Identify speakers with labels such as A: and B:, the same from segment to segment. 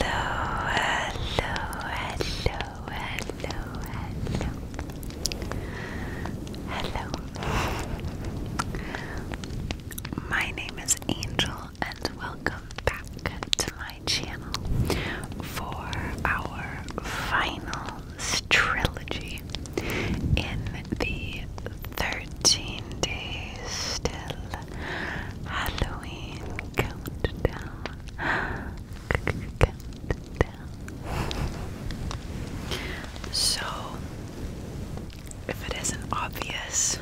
A: hello, hello, hello, hello. Hello. My name is Angel and welcome back to my channel for our final trilogy in the 13 days still. Halloween countdown. countdown. So, if it isn't obvious,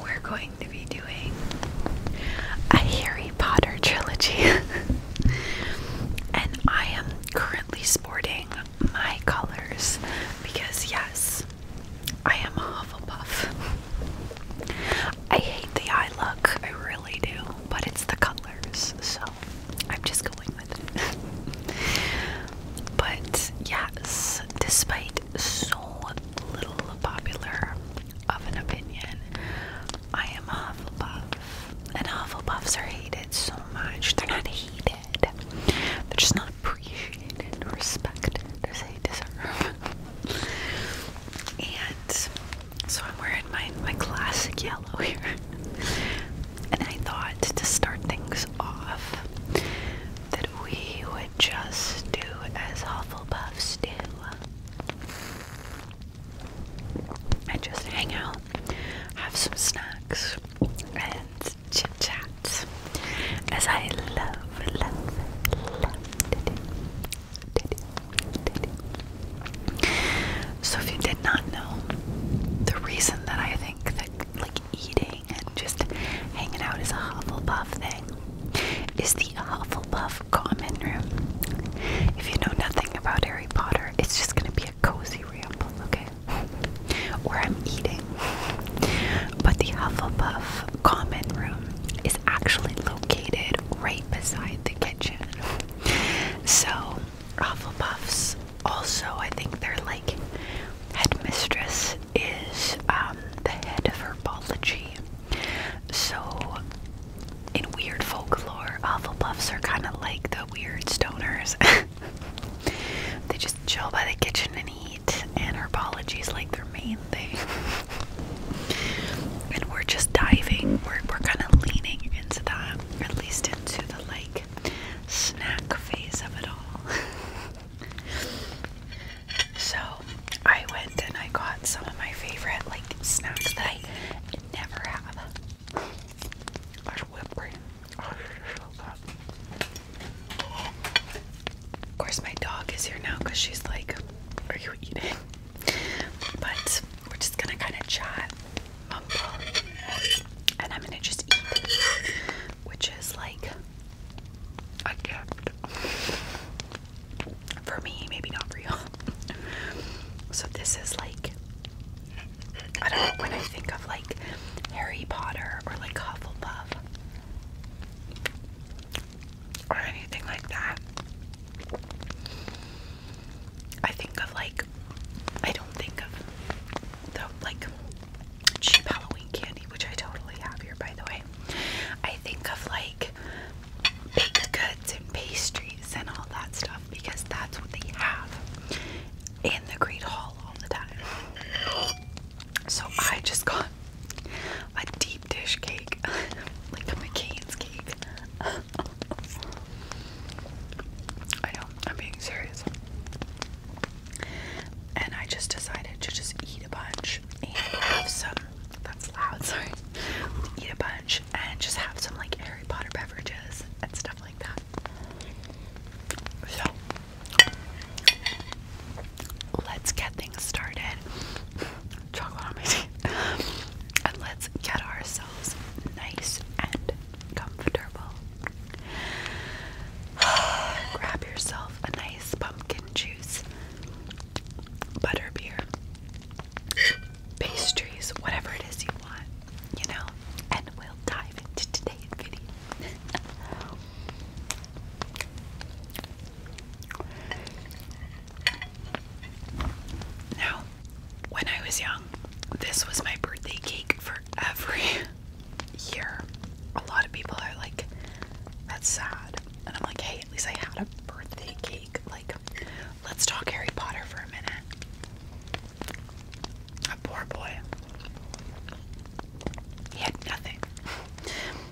A: we're going to be doing a Harry Potter trilogy. and I am currently sporting my colors because, yes, I am a Hufflepuff. I hate the eye look, I really do, but it's the colors, so I'm just going with it. but, yes, despite so little popular of an opinion, I am a Hufflepuff. And Hufflepuffs are hated so much. They're not hated. They're just not not appreciated, respected as they deserve. and so I'm wearing my, my classic yellow here. and I thought to start things off that we would just do as awful buffs do. And just hang out, have some snacks, and chit chats as I love, love, love to do. To So, if you did not know, the reason that I think that like eating and just hanging out is a Hufflepuff thing is the Hufflepuff common room. If you know nothing about Harry Potter, it's just going to be a cozy room, okay? Where I'm eating. But the Hufflepuff common room is actually located right beside the kitchen. So Hufflepuffs also, I think their like headmistress is um, the head of herbology. So in weird folklore, Hufflepuffs are kind of like the weird stoners. they just chill by the kitchen and eat, and herbology is like their main thing. and we're just diving, we're, we're kind of leaning into that, at least into the like snack phase of it all. so I went and I got some of my favorite like snacks that I never have. That's whipped cream. Oh, so good. Of course, my dog is here now because she's like, Are you eating? But we're just gonna kind of chat, and I'm gonna just eat, which is like a gift for me, maybe not for you. so, this is like, I don't know when I think of like Harry Potter or like Hufflepuff or anything like that. I think of like, I don't think of the like cheap Halloween candy, which I totally have here by the way. I think of like baked goods and pastries and all that stuff because that's what they have in the Great Hall all the time. So I just got a deep dish cake, like a McCain's cake. I know, I'm being serious. And I just decided to just eat a bunch and have some. That's loud, sorry. Eat a bunch and just have some like Harry Potter beverages and stuff like that. So Let's get things started. Chocolate on and let's get ourselves nice and comfortable. Grab yourself a nice pumpkin juice, butterbeer, pastries, whatever it is you want, you know, and we'll dive into today's video. Now, when I was young, this was my birthday cake for every year. A lot of people are like, that's sad. And I'm like, hey, at least I had a birthday cake. Like, let's talk Harry Potter for a minute. poor boy. He had nothing.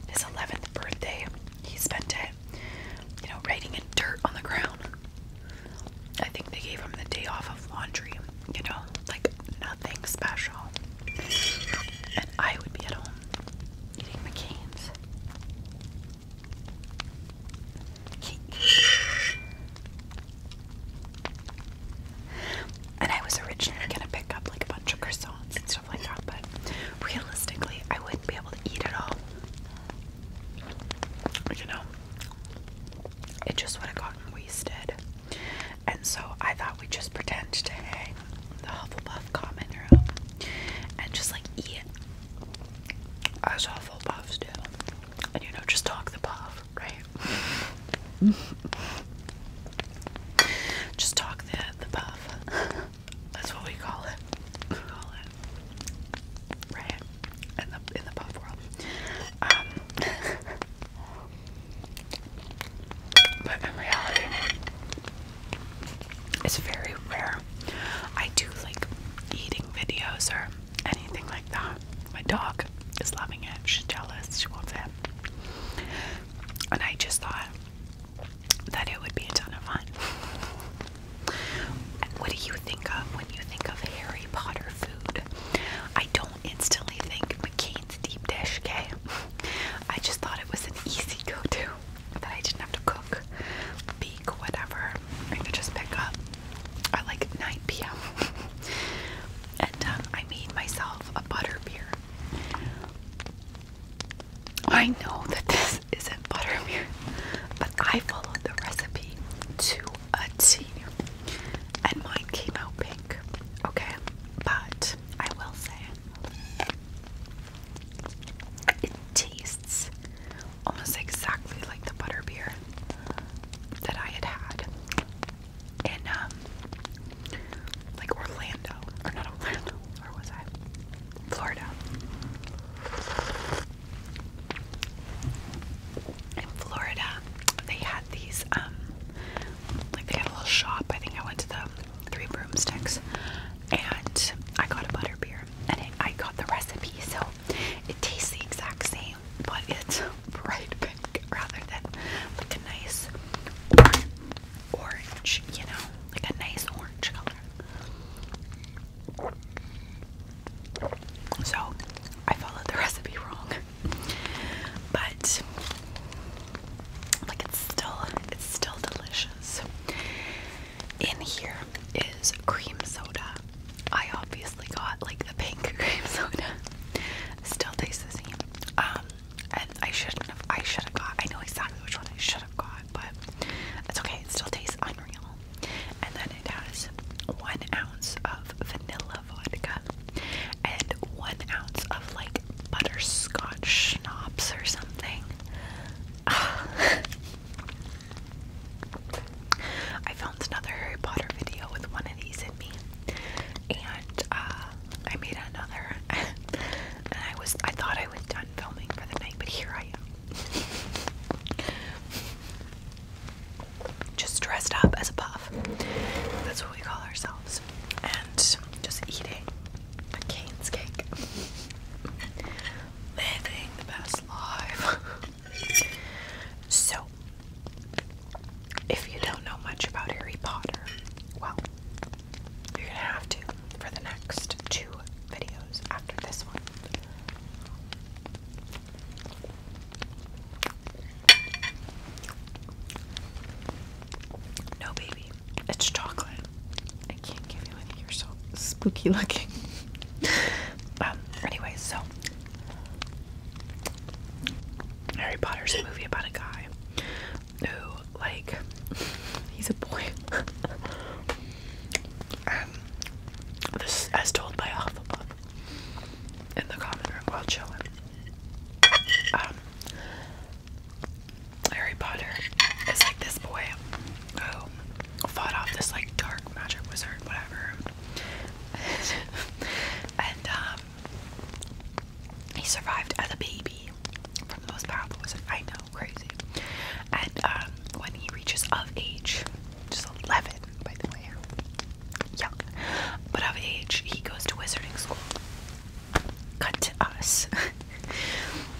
A: His 11th birthday, he spent it, you know, riding in dirt on the ground. I think they gave him the day off of laundry, you know, like nothing special. And I would be at home eating my cans. And I was originally gonna pick up like a bunch of croissants and stuff like that, but realistically, I wouldn't be able to eat it all. You know, it just would have gotten wasted. And so I thought we'd just pretend to hang the buff comment room and just like eat as Hufflepuffs do. And you know, just talk the puff, right? Just talk the the puff. That's what we call it. right in the in the puff world. Um, but in reality, it's very rare. I do like eating videos or anything like that. My dog is loving it. She's jealous. She wants it and I just thought that it would be a ton of fun. what do you think of when you think of Harry Potter food? I don't instantly think McCain's deep dish, okay? I just thought it was an easy go-to that I didn't have to cook, bake, whatever. I could just pick up at like 9 p.m. and um, I made myself a butter beer. I know that this isn't butterbeer, but I followed the recipe to a T and mine came out pink. Okay, but I will say it tastes almost exactly like the butterbeer that I had had in um, like Orlando or not Orlando where was I? Florida. In Florida, they had these um, like they had a little shop. I think I went to the Three Broomsticks and I got a butter beer and it, I got the recipe so it tastes the exact same but it's bright pink rather than like a nice orange, you know, like a nice orange color. So I followed the recipe wrong, but like it's still it's still delicious. In here is cream soda. I obviously got like the pink cream soda. Still tastes the same. Um, and I shouldn't have. I should have got. I know exactly which one I should have got, but it's okay. It still tastes unreal. And then it has one ounce of vanilla vodka and one ounce of like butterscotch schnapps or something. I found another Harry Potter video with one of these in me and uh, I made another, and I was I thought I was done filming for the night, but here I am, just dressed up as a puff. That's what we call ourselves, and just eating a Cane's cake, living the best life. so. If you don't know much about Harry Potter, well, you're gonna have to for the next two videos after this one. No, baby, it's chocolate. I can't give you any. You're so spooky looking. um. Anyway, so Harry Potter's a movie about a guy who like he's a boy. um, as told by Hufflepuff in the common room while chilling. Um, Harry Potter is like this boy who fought off this like dark magic wizard, whatever. and um he survived as a baby from the most powerful wizard. I know, crazy. And um, when he reaches of age, just 11, by the way, young, but of age, he goes to wizarding school. Cut to us.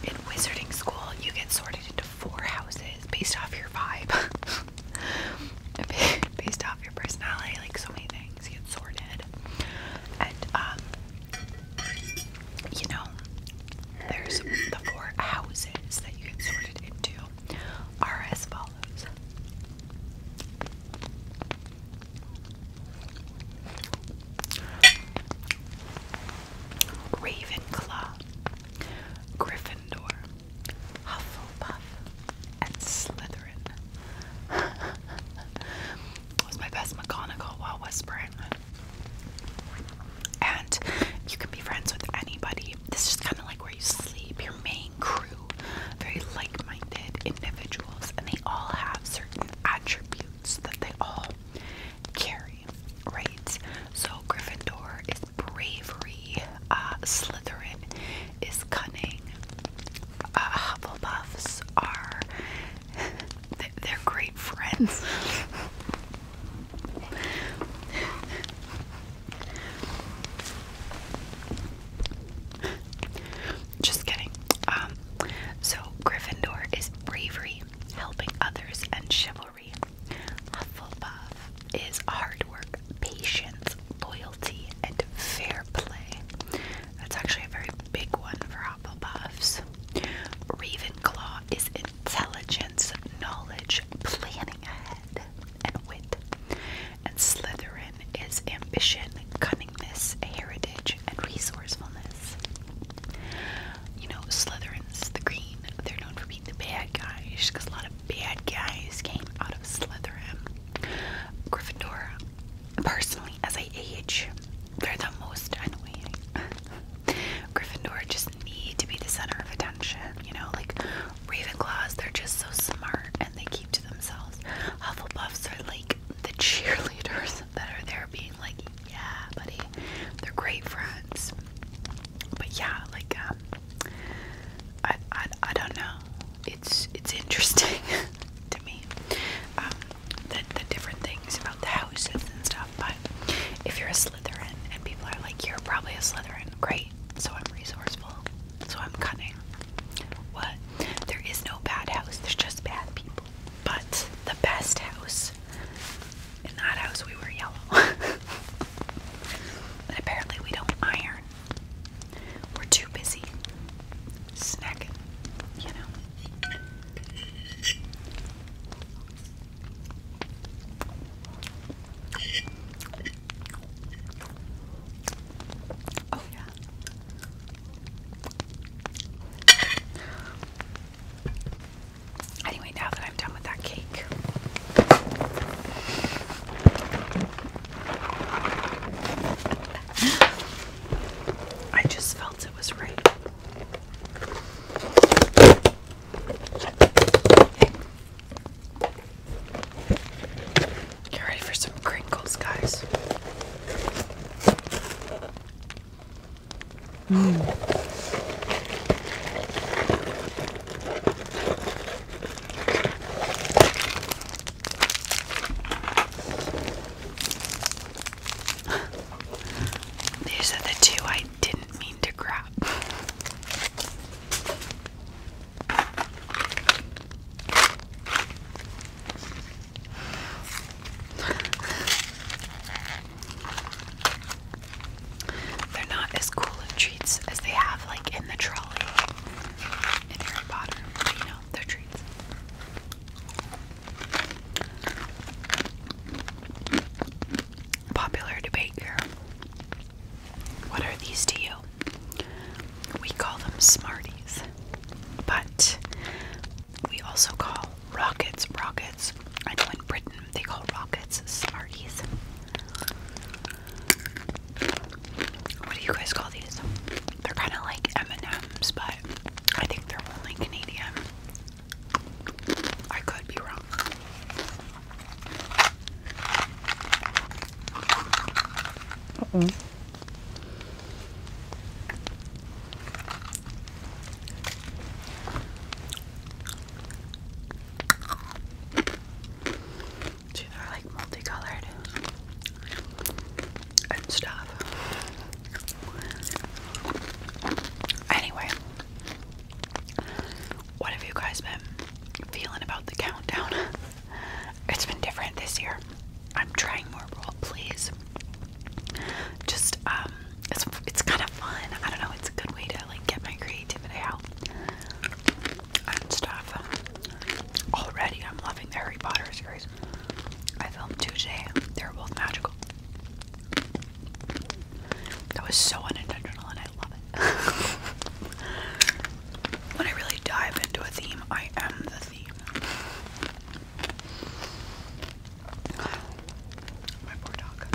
A: In wizarding school, you get sorted into four houses based off your vibe, based off your personality, like so many things get sorted. And um, you know, there's the four houses that you get sorted into are as follows. Ravenclaw, Gryffindor, Hufflepuff, and Slytherin. was my best McGonagall while whispering. And you can be friends with anybody. This is kind of like where you sleep, your main crew, very like minded individuals, and they all have certain attributes that they all carry, right? So, Gryffindor is bravery, uh, Slytherin is cunning, uh, Hufflepuffs are they're great friends. Just kidding. Um, so Gryffindor is bravery, helping others, and chivalry. Hufflepuff is hard work, patience, loyalty, and fair play. That's actually a very big one for Hufflepuffs. Ravenclaw is intelligence, knowledge, planning ahead, and wit. And Slytherin is ambition, cunningness, heritage, and resourcefulness. You know, Slytherin's the green. They're known for being the bad guys, because a lot of bad guys came out of Slytherin. Gryffindor, personally, as I age. They're the most annoying. Gryffindor just need to be the center of attention, you know? Like Ravenclaws, they're just so smart and they keep to themselves. Hufflepuffs are like the cheerleaders that are there being like, yeah, buddy. They're great friends. But yeah, like um I I I don't know. It's it's interesting to me. Um, the, different things about the houses and stuff. But if you're a Slytherin and people are like, you're probably a Slytherin, great. So I'm resourceful. So I'm cunning. What? There is no bad house. There's just bad people. But the best house. In that house, we were yellow. But apparently, we don't iron. We're too busy snacking, you know. Oh, yeah. Anyway, now that I'm done with that cake, I just felt it was right. Get ready for some crinkles, guys. Mm. These are the two I didn't mean to grab. They're not as cool of treats as they have like in the trolley in Harry Potter, you know, they're treats. Popular debate here. What are these to you? We call them Smarties, but we also call rockets rockets. I know in Britain they call rockets Smarties. What do you guys call these? They're kind of like M&Ms, but I think they're only Canadian. I could be wrong. they're like multicolored and stuff. Anyway, what have you guys been feeling about the countdown? It's been different this year. I'm trying more role plays. Just um, it's it's kind of fun. I don't know. It's a good way to like get my creativity out and stuff. Already, I'm loving the Harry Potter series. I filmed two today. They are both magical. That was so unintentional and I love it. when I really dive into a theme, I am the theme. My poor dog.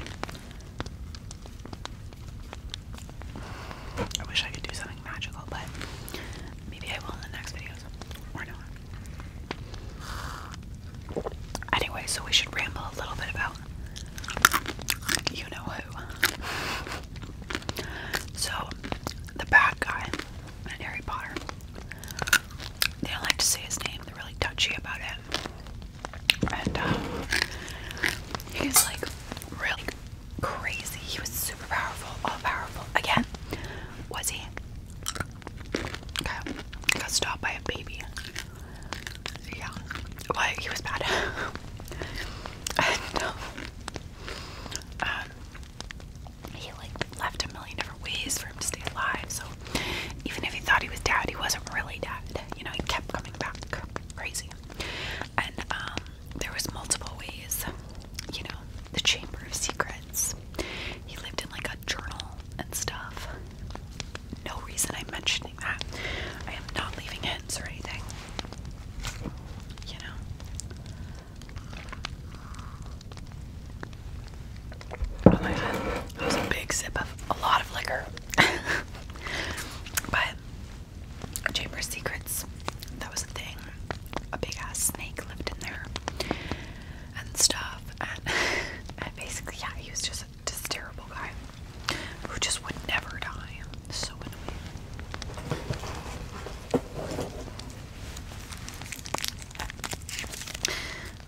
A: I wish I could do something magical, but maybe I will in the next videos. Or not. Anyway, so we should ramble a little bit about you know who. So, the bad guy in Harry Potter. They don't like to say his name, they're really touchy about it. And um, like really crazy. He was super powerful, all powerful. Again, was he? Got stopped by a baby. Yeah. Well, he was bad. and, um, um, he like left a million different ways for him to stay alive. So even if he thought he was dead, he wasn't really dead. You know, he kept coming back. Crazy. And um, there was multiple ways. You know, the Chamber of Secrets. He lived in like a journal and stuff. No reason I'm mentioning that. I am not leaving hints or anything. You know? Oh my god. That was a big sip of a lot of liquor. but Chamber Secrets, that was a thing. A big ass snake lived in there and stuff. And, basically, yeah, he was just just terrible guy who just would never die. So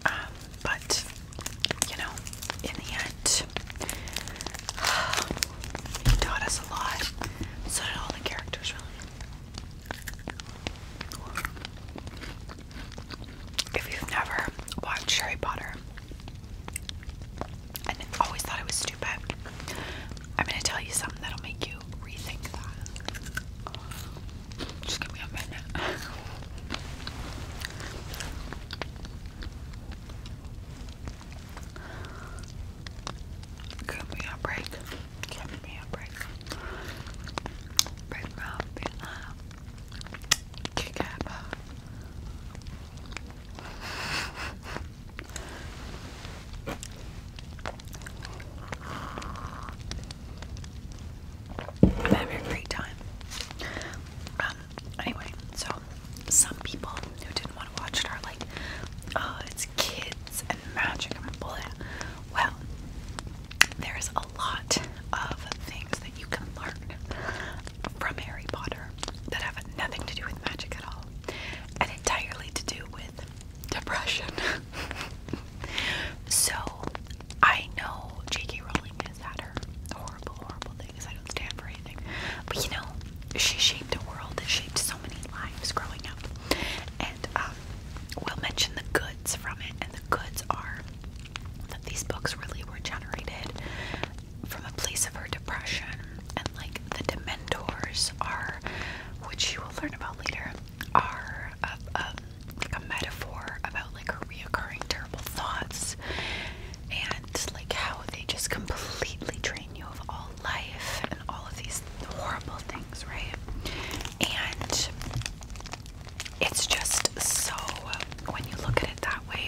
A: um, but you know, in the end, he taught us a lot. So did all the characters, really if you've never watched Harry Potter and always thought it was stupid, I'm gonna tell you something that'll make you rethink that. Just give me a minute. Give me a break. Give me a break. Break my own I'm having a great time. Um, anyway, so some people who didn't want to watch it are like, oh, it's kids and magic and blah. Well, there's a lot of things that you can learn from Harry Potter that have nothing to do with magic at all and entirely to do with depression. so I know J.K. Rowling has had her horrible, horrible things. I don't stand for anything. But you know, she shaped a world that shaped so many lives growing up. And um, we'll mention the goods from it, and the goods are that these books really were generated from a place of her depression and like the dementors are which you will learn about later are a, like a metaphor about like her reoccurring terrible thoughts and like how they just completely drain you of all life and all of these horrible things right and it's just so when you look at it that way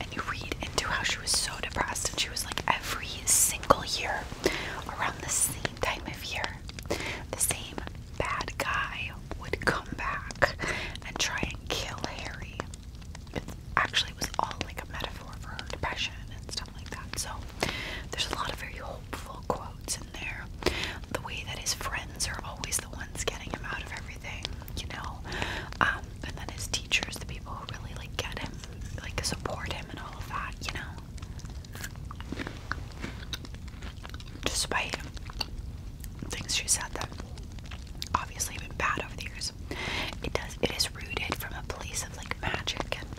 A: and you read into how she was so depressed and she was like every single year around the same time of year the same bad guy would come back and try and kill Harry. Actually, It was all like a metaphor for her depression and stuff like that. So there's a lot of very hopeful quotes quotes in there. The way that his friends are always the ones getting him out of everything, you know. Um, and then his teachers, the people who really like get him, like support him and all of that, you know. Despite things she said that obviously have been bad over the years. It does it is rooted from a place of like magic and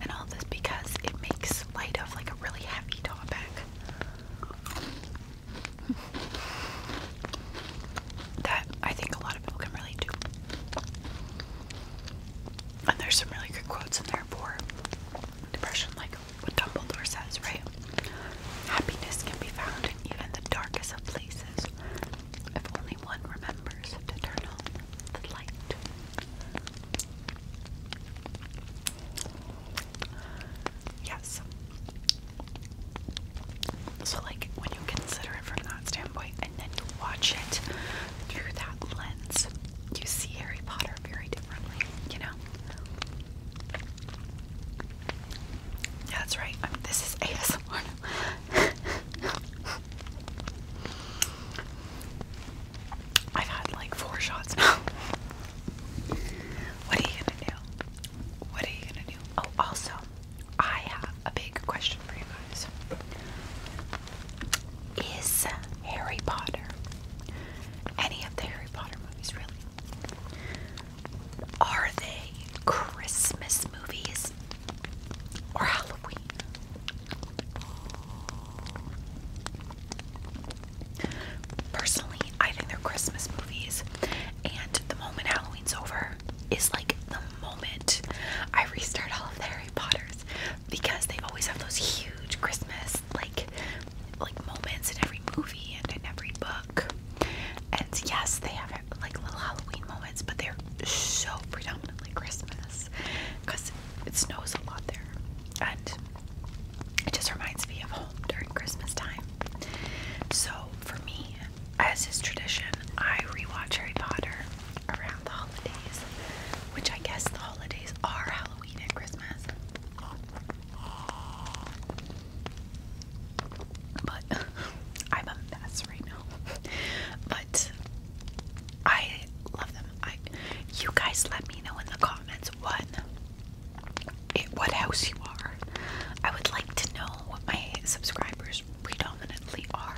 A: and all this because it makes light of like a really heavy topic that I think a lot of people can relate to. And there's some really good quotes in there for depression, like what Dumbledore says, right? Happiness can be found in even the darkest of places if only one remembers to turn on the light. Yes. So, like, when you consider it from that standpoint and then you watch it through that lens, you see Harry Potter very differently, you know? Yeah, that's right. this is ASMR. I've had like four shots now. What are you gonna do? What are you gonna do? Oh, also, I have a big question for you guys. Is Harry Potter any of the Harry Potter movies really? Are they Christmas movies or Halloween? Personally, I think they're Christmas movies, and the moment Halloween's over is like the moment I restart all of the Harry Potters because they always have those huge Christmas like like moments in every movie and in every book. And yes, they have like little Halloween moments, but they're so predominantly Christmas because it snows a lot there, and it just reminds me of home during Christmas time. So for me, as is tradition, I rewatch Harry Potter around the holidays, which I guess the holidays are Halloween and Christmas. But I'm a mess right now. But I love them. you guys let me know in the comments what at what house you are. I would like to know what my subscribers predominantly are.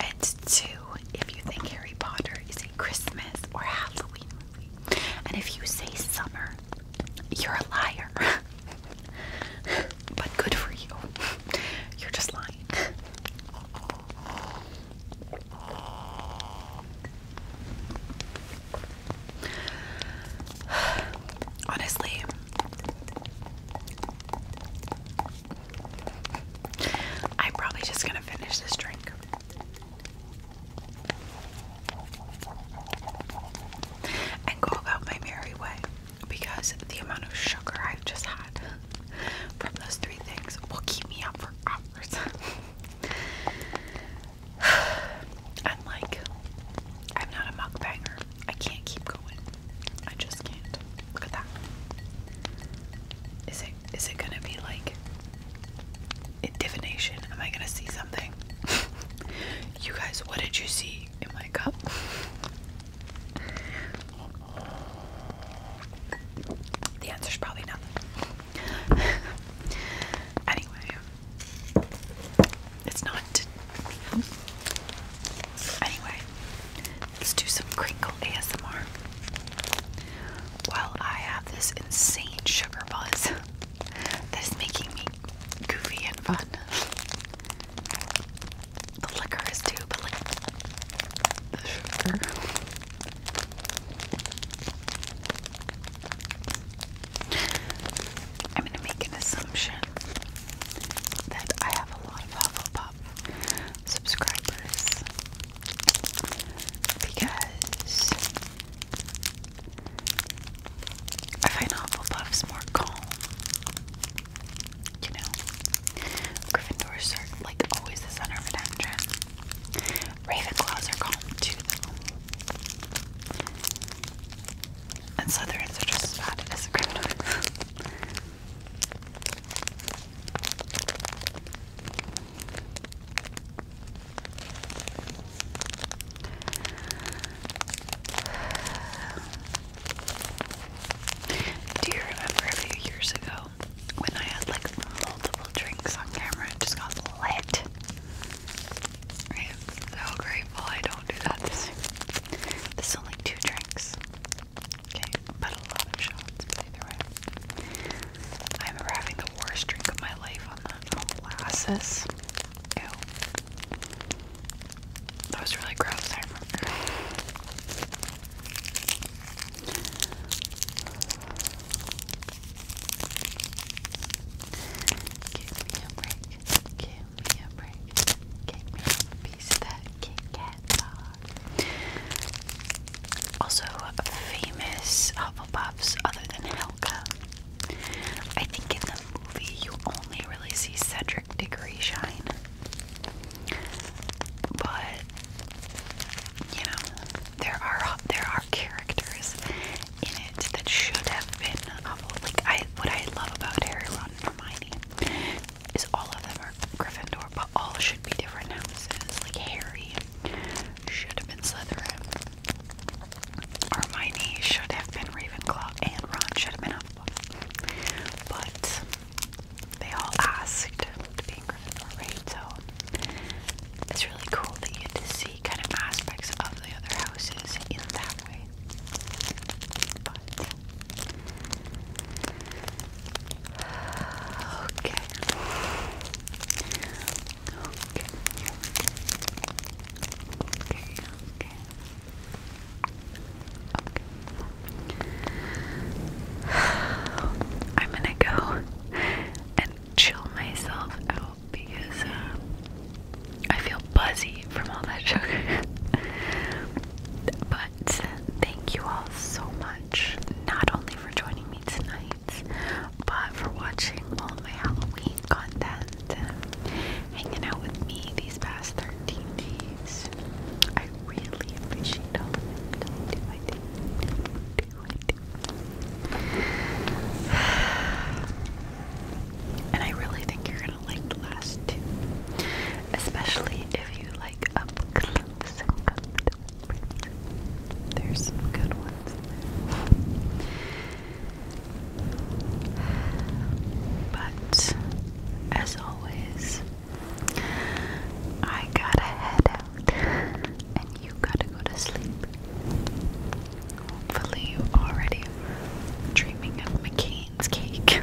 A: And two, if you think Harry Potter is a Christmas or Halloween movie. And if you say summer, you're a liar. but good for you. You're just lying. Honestly, I'm probably just gonna finish this drink. And go about my merry way because the amount of sugar I've just had from those three things will keep me up for hours. I'm like, I'm not a banger. I can't keep going. I just can't. Look at that. Is it is it gonna be like a divination? Am I gonna see something? you guys, what did you see in my cup? The answer's probably nothing. anyway, it's not. Anyway, let's do some crinkle ASMR while I have this insane sugar buzz that is making me goofy and fun. The liquor is too, but the sugar. I'm gonna make an assumption that I have a lot of Hufflepuff subscribers because I find Hufflepuffs more calm. You know, Gryffindors are like always the center of attention. Ravenclaws are calm too, And Slytherins are just as bad as a criminal. Do you remember a few years ago when I had like multiple drinks on camera and just got lit? I am so grateful I don't do that this is only two drinks. Okay, but a lot of shots, I remember having the worst drink of my life on the molasses. That was really gross, Give me a break. Give me a break. Give me a piece of that Also, famous Hufflepuffs other than Helka. I think in the movie you only really see Cedric Diggory shine. But you know, there are there are characters in it that should have been awful. Like I, what I love about Harry, Ron, and Hermione is all of them are Gryffindor, but all should be different houses. Like Harry should have been Slytherin. Hermione should have been Ravenclaw, and Ron should have been Hufflepuff. But they all asked to be in Gryffindor, So it's really cool that you had see kind of aspects of the other houses in that way. But Okay. Okay. Okay. Okay. Okay. I'm gonna go and chill myself out because uh, I feel buzzy from all that sugar. but thank you all so much, not only for joining me tonight, but for watching all my Halloween content, hanging out with me these past 13 days. I really appreciate all of it. And I really think you're gonna like the last two. Especially if you like up close There's good ones But as always, I gotta head out and you gotta go to sleep. Hopefully, you already dreaming of McCain's cake.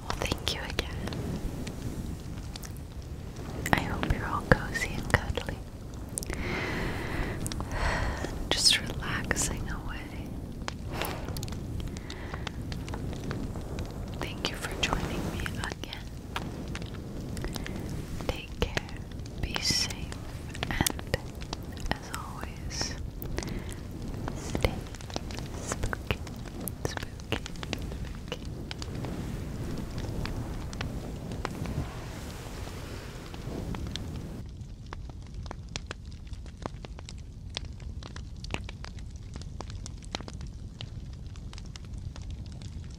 A: well, thank you again. I hope you're all cozy and cuddly. Just relaxing away. Thank you for joining me again. Take care, be safe, and as always, stay spooky, spooky, spooky.